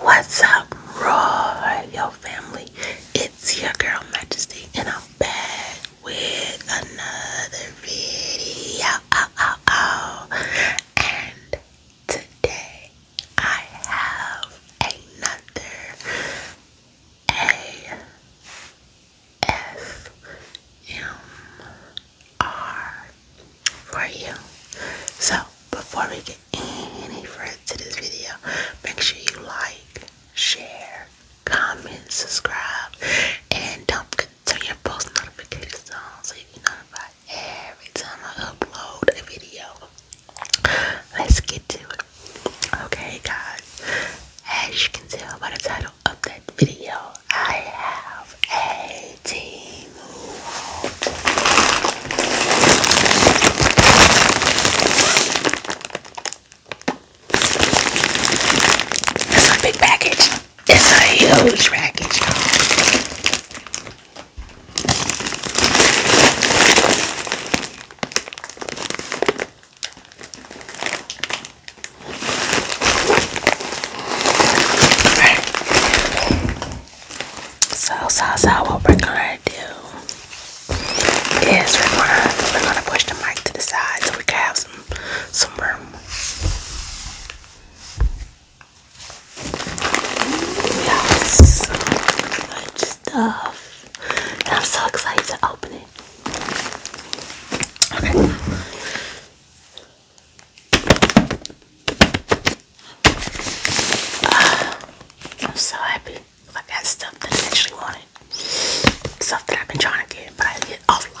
What's up, royal family? It's your girl Majesty, and I'm back with another video. Oh, oh, oh. And today I have another A S M R for you. So, before we get any further to this video, make sure you like, share, comment, subscribe, and don't turn your post notifications on so you can notified every time I upload a video. Let's get to it. Okay, guys, as you can tell by the title of that video, I have of team. It's a big package. It's a huge package. So, so, so what we're gonna do is we're gonna we're gonna push the mic to the side so we can have some some room. We so much stuff, and I'm so excited to open it. Okay. I'm so happy. I got stuff that I actually wanted. Stuff that I've been trying to get, but I get offline.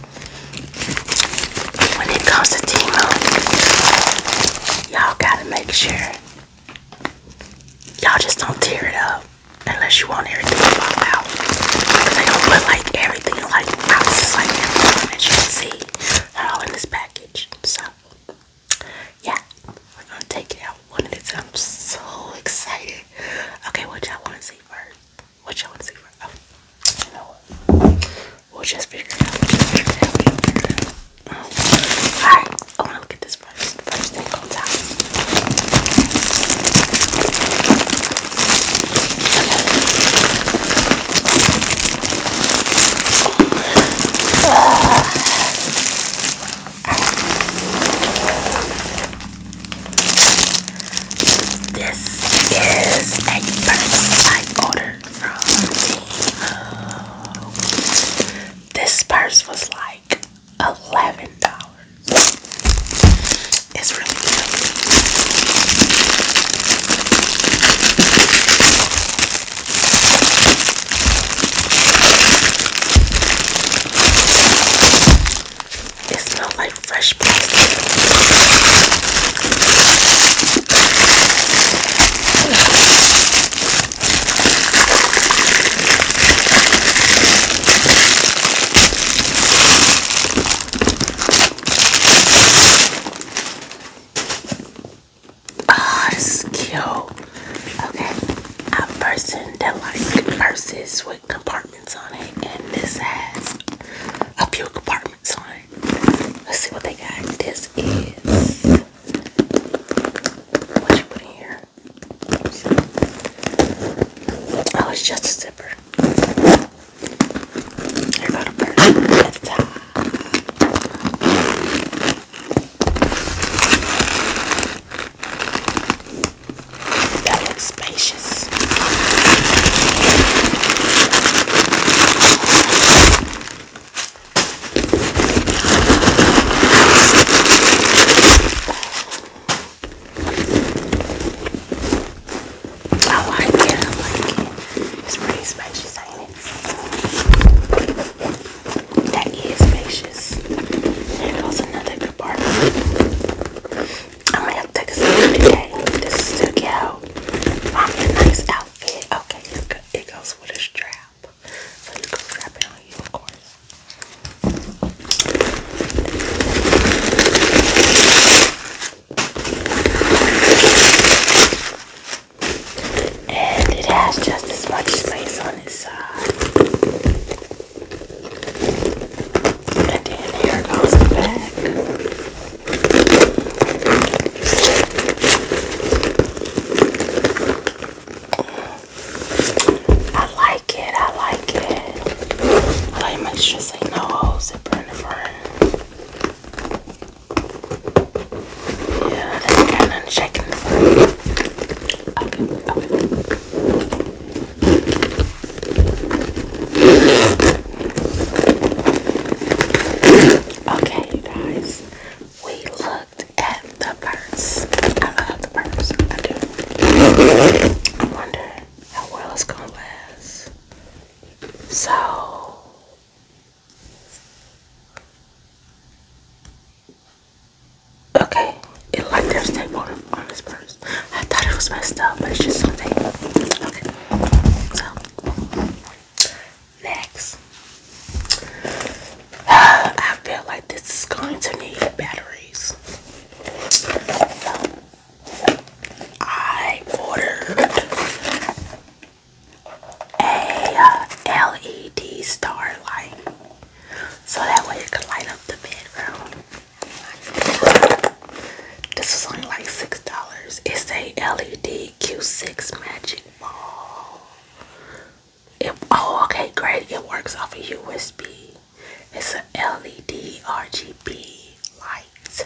When it comes to Timo, y'all gotta make sure y'all just don't tear it up unless you want everything to pop out. they gonna put like everything, like boxes, like everything that you can see, all in this package. So yeah, we're gonna take it out one at I'm so excited. Okay, what y'all wanna see first? What y'all wanna see first? Oh. We'll just figure it out. We'll just figure it out. We'll figure it out. Alright, I want to look this first. thing comes out. This is a purse I ordered. Uh, this purse was like eleven dollars. It's really good. It smells like fresh plastic. Oh, this is cute. Okay, a person that like purses with compartments on it, and this has a few compartments on it. Let's see what they got. This is what you put in here. Oh, it's just a zipper. I got a purse at the top. That looks spacious. I like it, I like it. It's pretty spacious, ain't it? That is spacious. There goes another compartment. I'm gonna have to take a sip today. This is to get out. I'm the nice out. Okay, It goes with a strap. So you can strap it on you, of course. And it has just as much space on its side. And then here goes the back. I like it. I like it. I like make sure say no holes zipper in the front. Yeah, that's kind of shaking the front. Okay, okay. Okay, guys, we looked at the purse. I love the purse. I do. I wonder how well it's gonna last. So. Okay, it like there's tape on, this purse. I thought it was messed up, but it's just something. Okay, so Next, I feel like this is going to need batteries. So, I ordered a uh, LED starlight so that way it can light up the bedroom. This was only like six dollars. It's a LED Q6 Magic Ball. oh, okay, great. It works off a USB. It's a LED RGB light,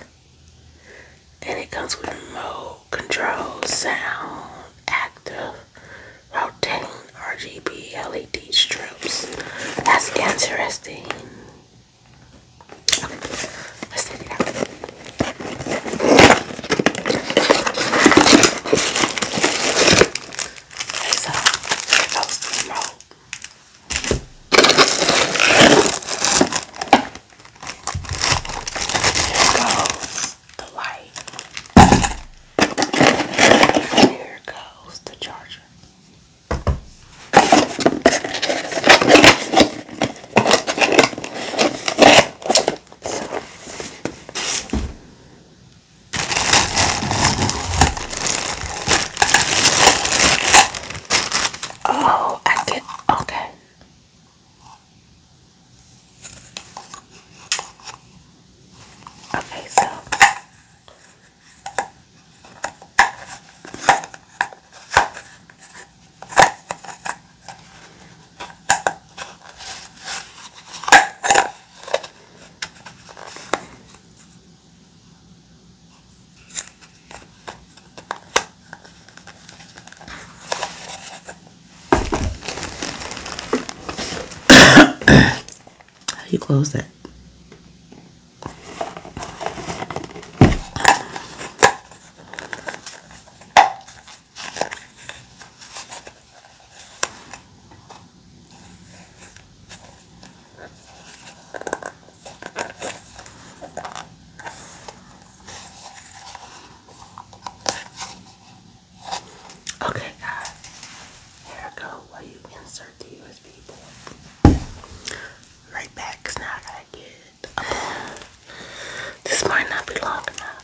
and it comes with mode control, sound, active, rotating RGB LED strips. That's interesting. Okay, let's take it out. It's a toasty roll. Here goes the light. Here goes the charger. Oh, I get okay. Okay, so how do you close that? Okay, here I go. Where you insert the USB Right back, now I get this might not be long enough.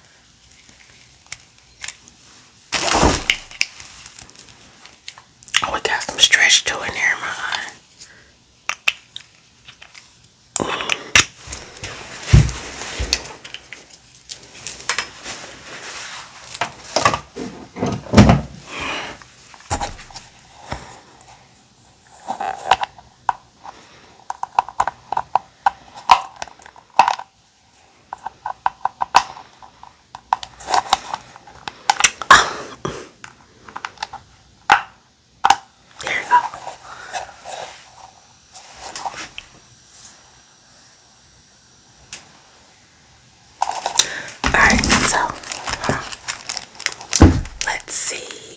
Oh, it got some stretch to it there, my there you go. All right, so uh, let's see.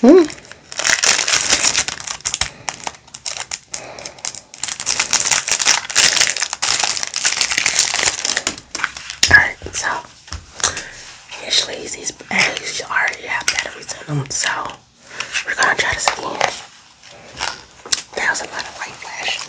Hmm. Alright, so usually these batteries already have batteries in them, so we're gonna try this again. Thousand Light of Light Flash.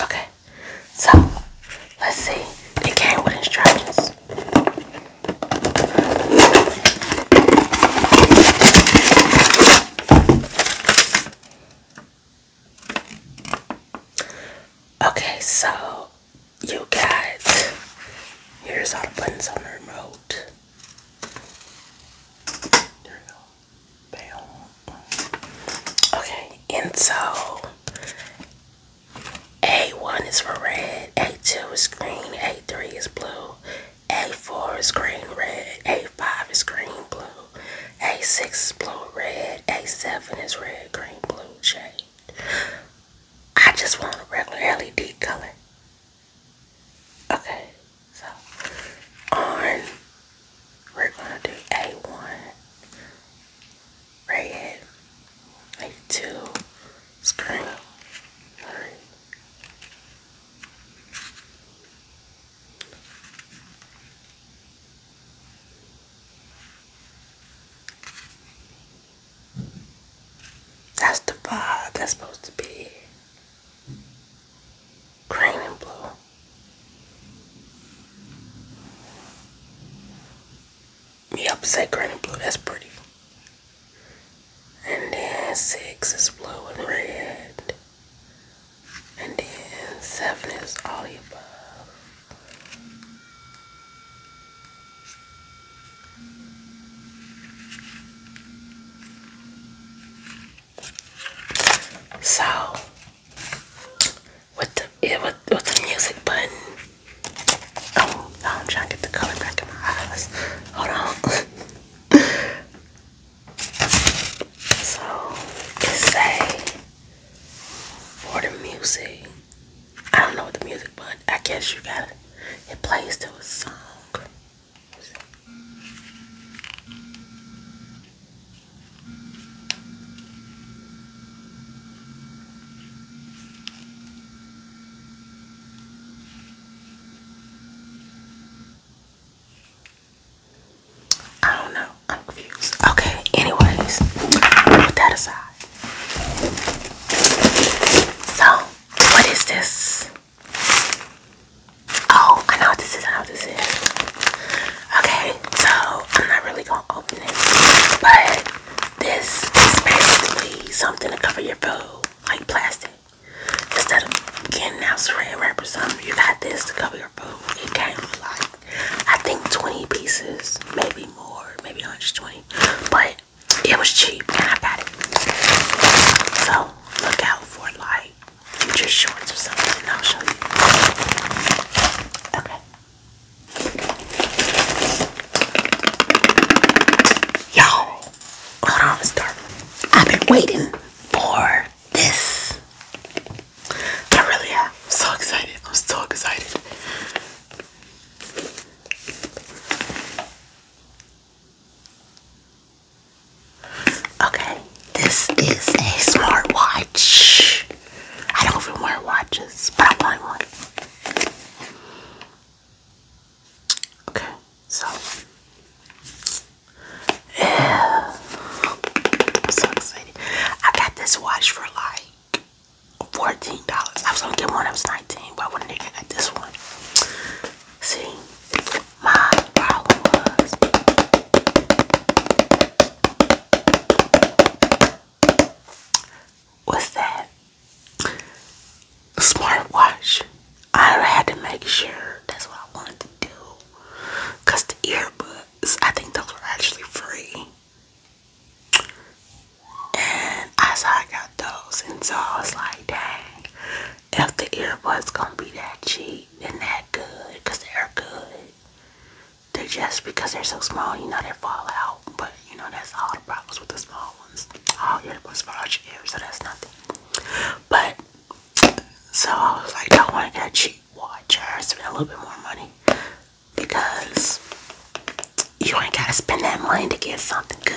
Okay, so let's see. It came with instructions. Okay, so you got here's all the buttons on the remote. Okay, and so A1 is for red, A2 is green, A3 is blue, A4 is green, red, A5 is green, blue, A6 is blue, red, A7 is red, green, blue, shade. I just want a regular LED color. Okay, so on we're gonna do A1 A2 screen, That's the vibe that's supposed to be green and blue. Yep, said green and blue. That's pretty. And then six is blue and red. And then seven is all the above. So with the it with, with the music button. Oh, I'm trying to get the color back in my eyes. Hold on. so it's say for the music. I don't know what the music button. I guess you got it. it plays to a song. I don't know. I'm confused. Okay, anyways, put that aside. So, what is this? Oh, I know what this is. I know what this is. Okay, so I'm not really gonna open it, but this is basically something to cover your food, like plastic. Instead of getting out saran wrap or something, you got this to cover your food. It came like I think 20 pieces, maybe more, maybe 120, but it was cheap and I got it. So look out for like like just shorts or something and I'll show you. Okay. you hold on, Miss Dark. I've been waiting for this. I really I'm so excited. I'm so excited. Okay, this is a smartwatch. I don't even wear watches, but I want one. Okay, so I'm so got this watch for like $14. I was gonna get one, I was 19, but when I got this one. See, my followers. What's that? Smartwatch. I had to make sure that's what I wanted to do. Cause the earbuds, I think those were actually free. And I saw I got those and so I like, dang, if the earbuds gonna be that cheap and that good, cause they're good. They good, they're just because they're so small, you know they fall out. But you know that's all the problems with the small ones. All earbuds fall out your ear, so that's nothing. But so I was like, I want to get a cheap watch or spend a little bit more money because you ain't gotta spend that money to get something good.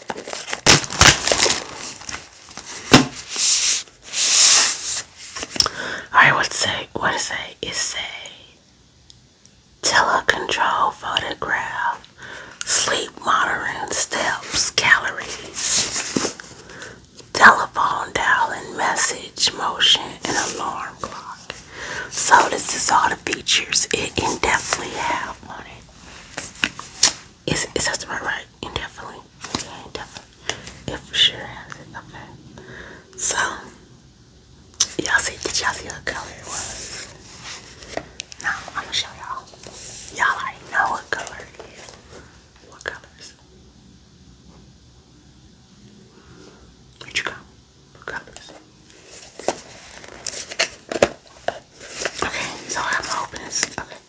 I would say, what is it? It's a telecontrol photograph, sleep monitoring steps, calories, telephone dialing, message, motion, and alarm clock. So this is all the features it indefinitely have on it. Is is that right? Right? Indefinitely. Yeah, indefinitely. It for sure has it. Okay. So y'all see? Did y'all see what color it was? Now I'm gonna show y'all. Y'all already know what color it is. What colors? Where'd you go? What colors? Okay, so I'm gonna open this. Okay.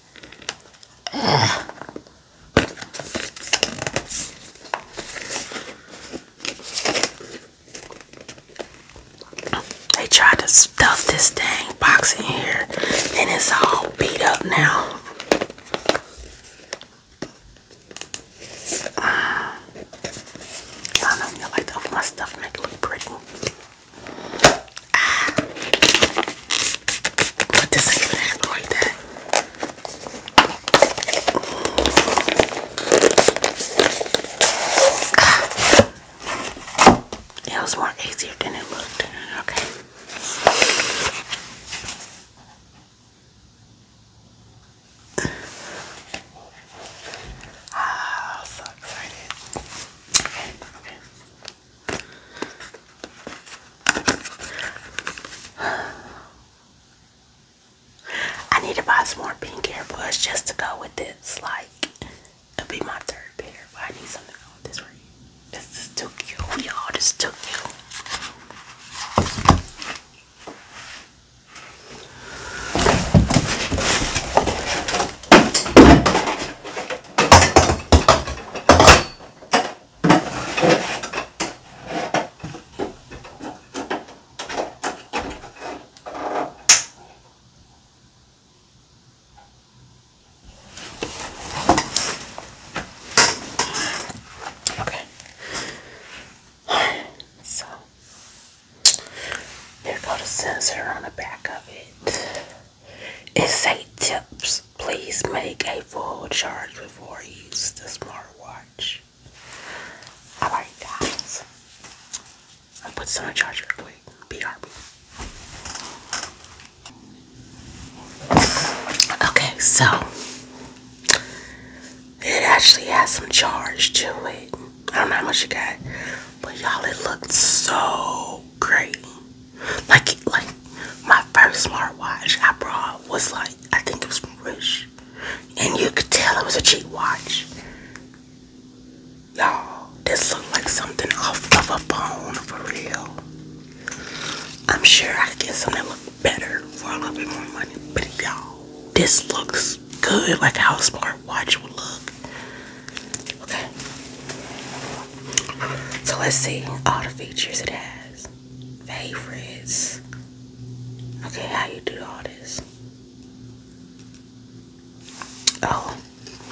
They tried to stuff this dang box in here, and it's all beat up now. I don't know like to my stuff, make it look pretty. Ah. Put this in your hand like that. It was more easier than it looked. Okay. Ah, so excited. I need to buy some more pink earbuds just to go with this. Like, it'll be my third pair, but I need something on this right This is too cute, y'all. This is too cute. Okay. Alright, so there goes a sensor on the back of it. It say tips. Please make a full charge before you use the smartwatch. I like that. I'll put some charge. the charger real quick. BRB. Okay, so it actually has some charge to it. I don't know how much you got, but y'all, it looked so great. Like, like my first smartwatch I brought was like I think it was from Wish, and you could tell it was a cheap watch. Y'all, this looked like something off of a phone for real. I'm sure I could get something that looked better for a little bit more money, but y'all, this looks good. Like how a smartwatch would look. Okay. So let's see all the features it has. Favorites. Okay, how you do all this? Oh,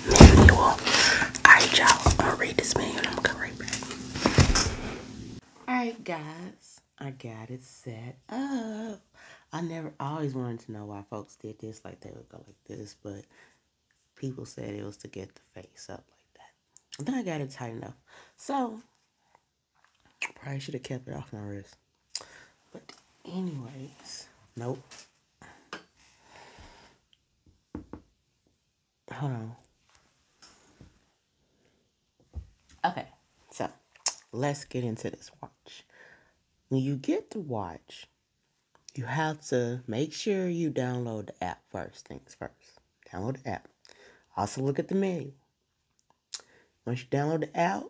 manual. Alright, y'all. I'm gonna read this manual I'm gonna come right back. Alright, guys. I got it set up. I never I always wanted to know why folks did this, like they would go like this, but people said it was to get the face up like that. And then I got it tight enough. So, probably should have kept it off my wrist. But anyways, nope. I don't know. Okay, so let's get into this watch. When you get the watch, you have to make sure you download the app first things first download the app also look at the menu once you download the app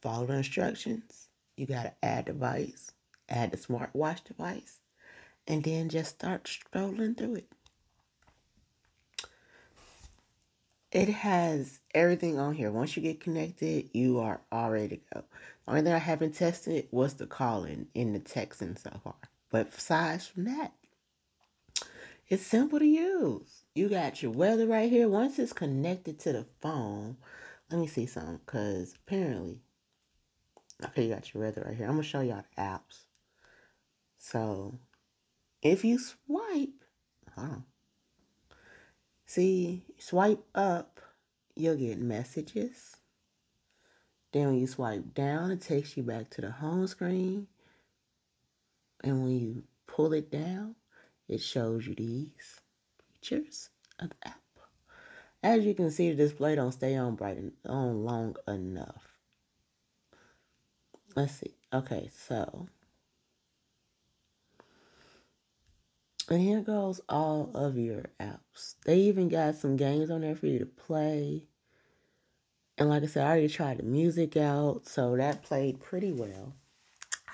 follow the instructions you got to add device add the smartwatch device and then just start scrolling through it it has everything on here once you get connected you are already the only thing I haven't tested was the calling in the texting so far. But besides from that, it's simple to use. You got your weather right here. Once it's connected to the phone, let me see something because apparently, okay, you got your weather right here. I'm going to show y'all the apps. So if you swipe, huh? See, swipe up you'll get messages. Then when you swipe down, it takes you back to the home screen. And when you pull it down, it shows you these features of the app. As you can see, the display don't stay on bright and on long enough. Let's see. Okay, so and here goes all of your apps. They even got some games on there for you to play. And like I said, I already tried the music out, so that played pretty well.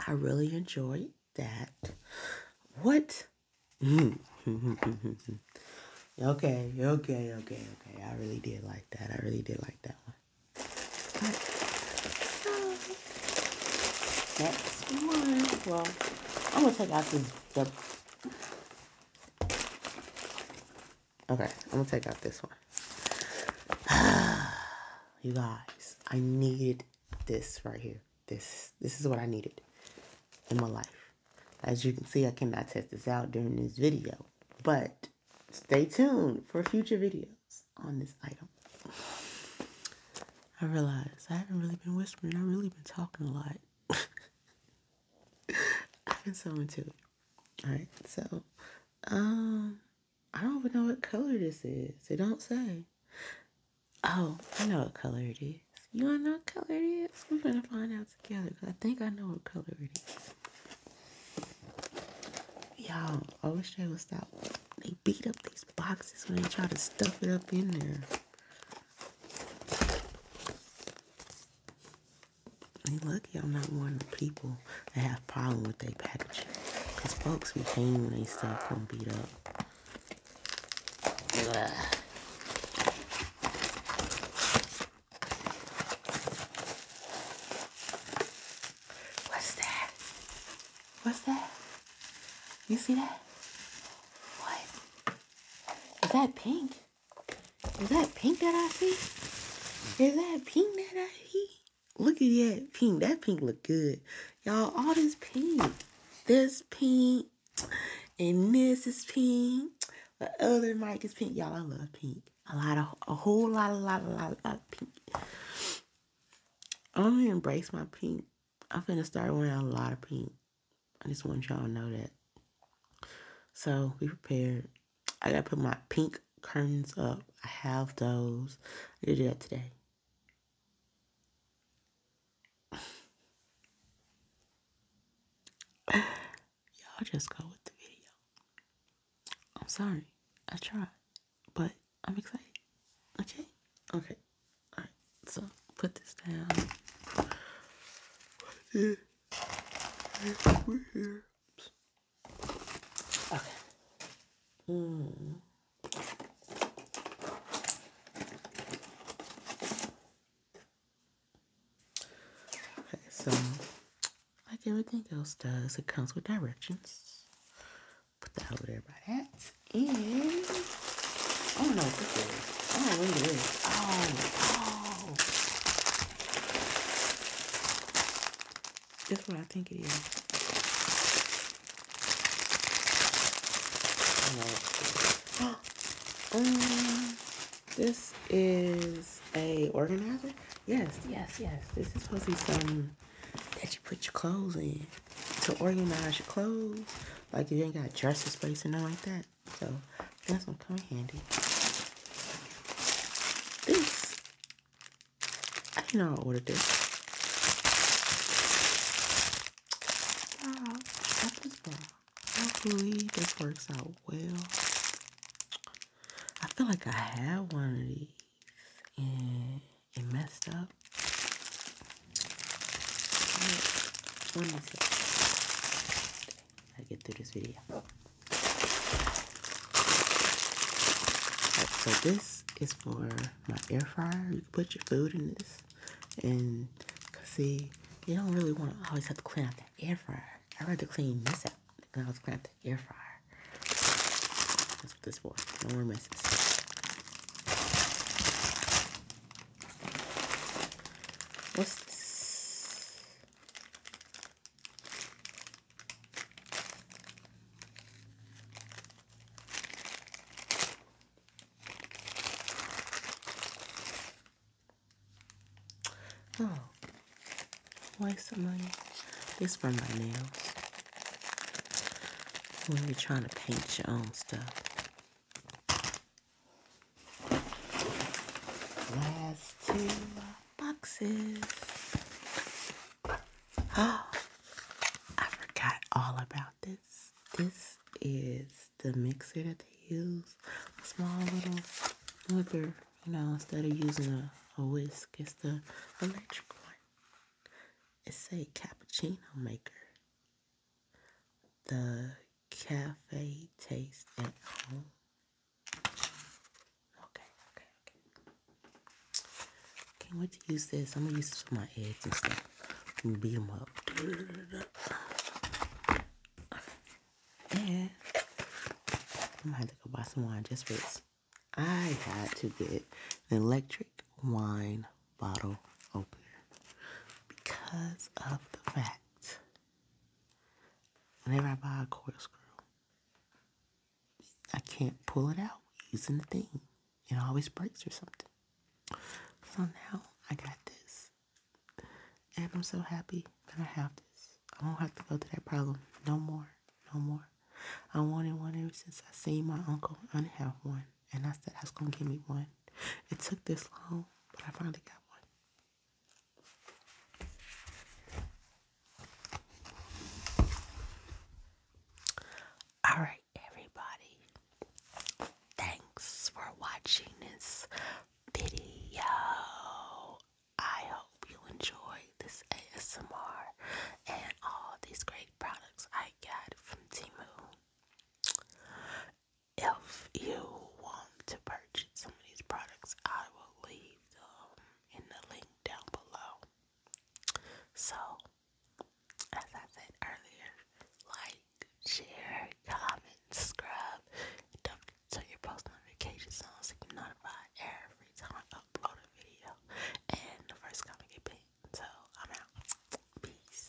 I really enjoyed that. What? okay, okay, okay, okay. I really did like that. I really did like that one. Uh, next one. Well, I'm gonna take out this the Okay, I'm gonna take out this one. you guys, I needed this right here. This this is what I needed in my life. As you can see, I cannot test this out during this video, but stay tuned for future videos on this item. I realized I haven't really been whispering. I've really been talking a lot. I have been to it. Alright, so um I don't even know what color this is. It don't say. Oh, I know what color it is. You wanna know what color it is? We're gonna find out together because I think I know what color it is. Y'all, always try to would stop. They beat up these boxes when they try to stuff it up in there. And lucky I'm not one of the people that have problem with their packaging. Because folks be hating when they stuff come beat up. What's that? What's that? You see that? What? Is that pink? Is that pink that I see? Is that pink that I see? Look at that pink. That pink look good. Y'all, all this pink. This pink. And this is pink. The other mic is pink. Y'all, I love pink. A lot of, a whole lot, a lot, a lot, a lot of pink. I'm gonna embrace my pink I'm gonna start wearing a lot of pink. I just want y'all to know that. So be prepared. I gotta put my pink curtains up. I have those. I do that today. y'all just go with the video. I'm sorry. I tried. But I'm excited. Okay? Okay. Alright, so put this down. Okay. Hmm. Okay, so like everything else does, it comes with directions. Put that over there by that. And I don't know what this is. I don't know what it is. Oh, oh. That's what I think it is. No. um, this is a organizer. Yes, yes, yes. This is supposed to be some that you put your clothes in to organize your clothes. Like you ain't got dresser space or nothing like that. So that's gonna come in handy. This I didn't know I ordered this. Wow, this Hopefully this works out well. I feel like I had one of these and it messed up. One more sip. I'll get through this video. so this is for my air fryer. You can put your food in this. And cause see, you don't really want to always have to clean out the air fryer. I'd to clean this out because I was clean out the air fryer. That's what this for. No more messes. What's this? Oh, waste of money. This for my nails. When you're trying to paint your own stuff. Last two boxes. Oh, I forgot all about this. This is the mixer that they use. A small little whipper, you know, instead of using a, whisk, it's the electric one. It's a cappuccino maker the cafe taste at home. Okay, okay, okay. Can't wait to use this. I'm gonna use this for my eggs and stuff. Beat them up. And I'm to go buy some wine just for this. I had to get electric wine bottle opener because of the fact whenever I buy a coil screw, I can't pull it out using the thing. It always breaks or something. So now I got this. And I'm so happy that I have this. I will not have to go through that problem no more. No more. I wanted one ever since I seen my uncle. I didn't have one. And I said, I was going to give me one. It took this long, but I finally got one. All right, everybody. Thanks for watching this video. I hope you enjoyed this ASMR and all these great products I got from Timu if you want to purchase some of these products, I will leave them in the link down below. So, as I said earlier, like, share, comment, subscribe, don't forget to turn your post notifications on so you can notified every time I upload a video. And the first comment get pinned. So, I'm out. Peace.